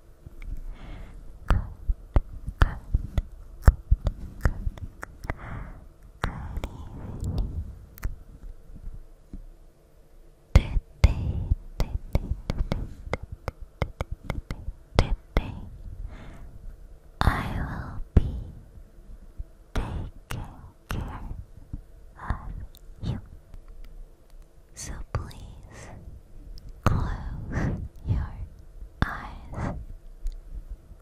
Today I will be taking care of you. So please Close your eyes.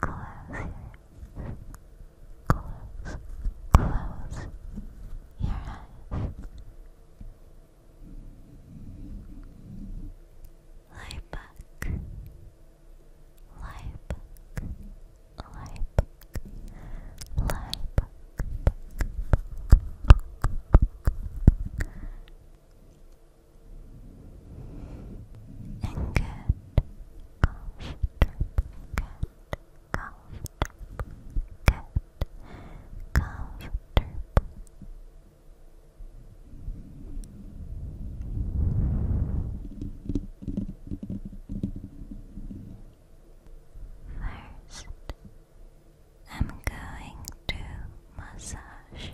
Close close close your eyes. Lie back. Lie back. Lie back. Lie back and get comfortable, get comfortable, get comfortable. First, I'm going to massage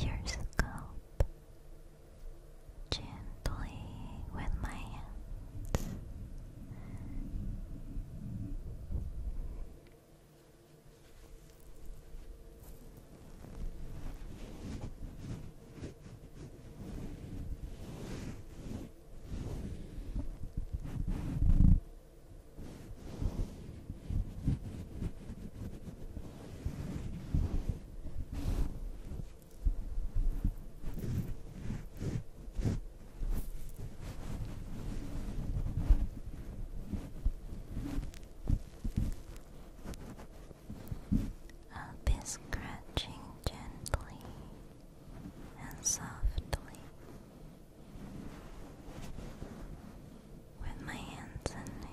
your scalp gently with my hands. I'll be scratching gently and softly with my hands and nails.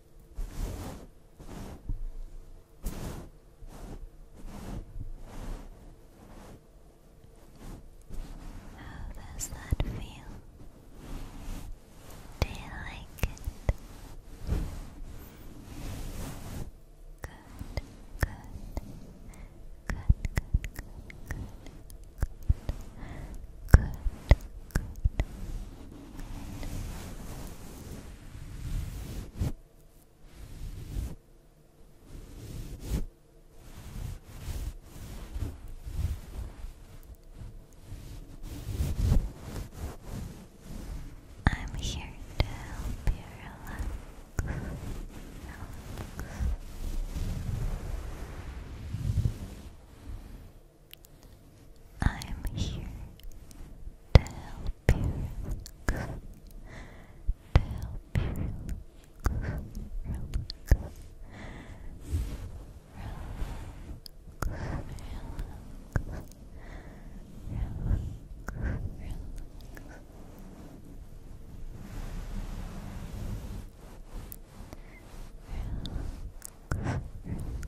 How does that feel? Do you like it? Good, good, good, good, good, good, good, good, I'm here to help you relax. I'm here to help you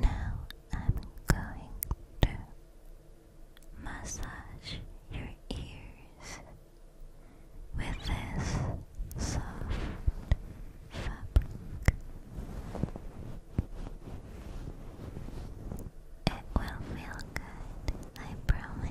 Now I'm going to massage your ears with this soft fabric. It will feel good, I promise.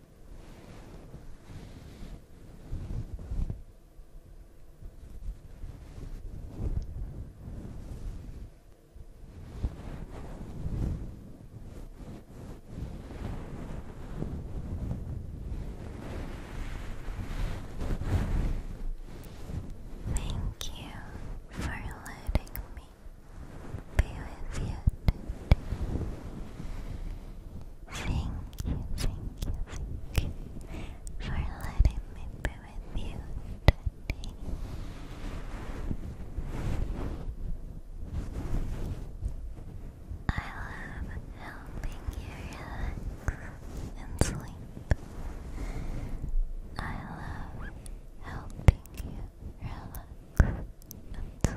Thank you for letting me be with Thank you, thank you, thank you for letting me be with you today. I love helping you relax and sleep. I love helping you relax and sleep.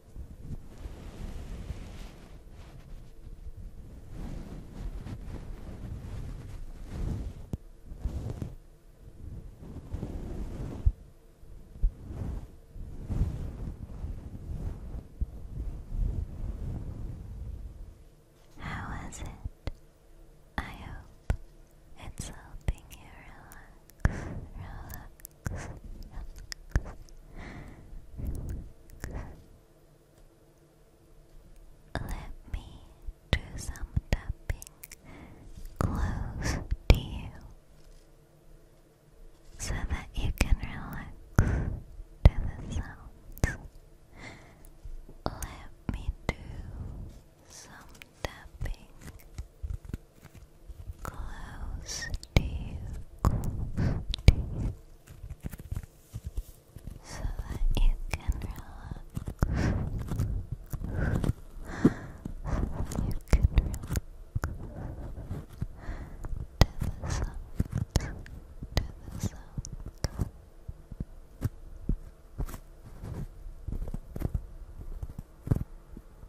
How was it? I hope it's helping you relax, relax, Let me do some tapping close to you so that you can relax to the sounds. Let me do some tapping Close to you, so that you can relax. you can relax to the sound, to the sound.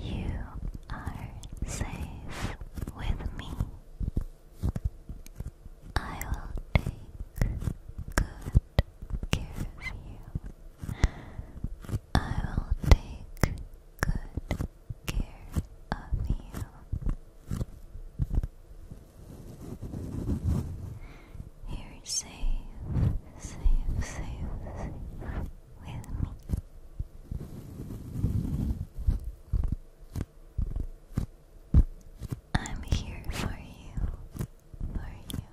You are safe with me. I will take good care of you. I will take good care of you. You're safe, safe, safe, with me. I'm here for you, for you, for you.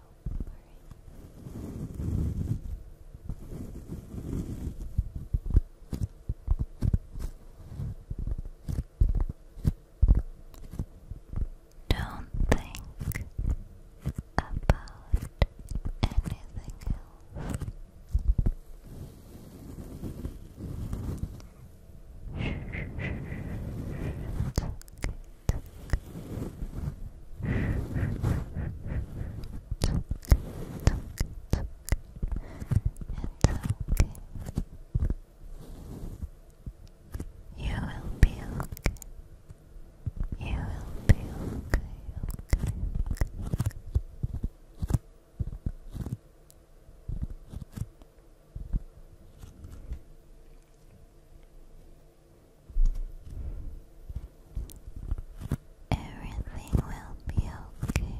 Don't think about anything else. You will be okay. You will be okay, Everything will be okay.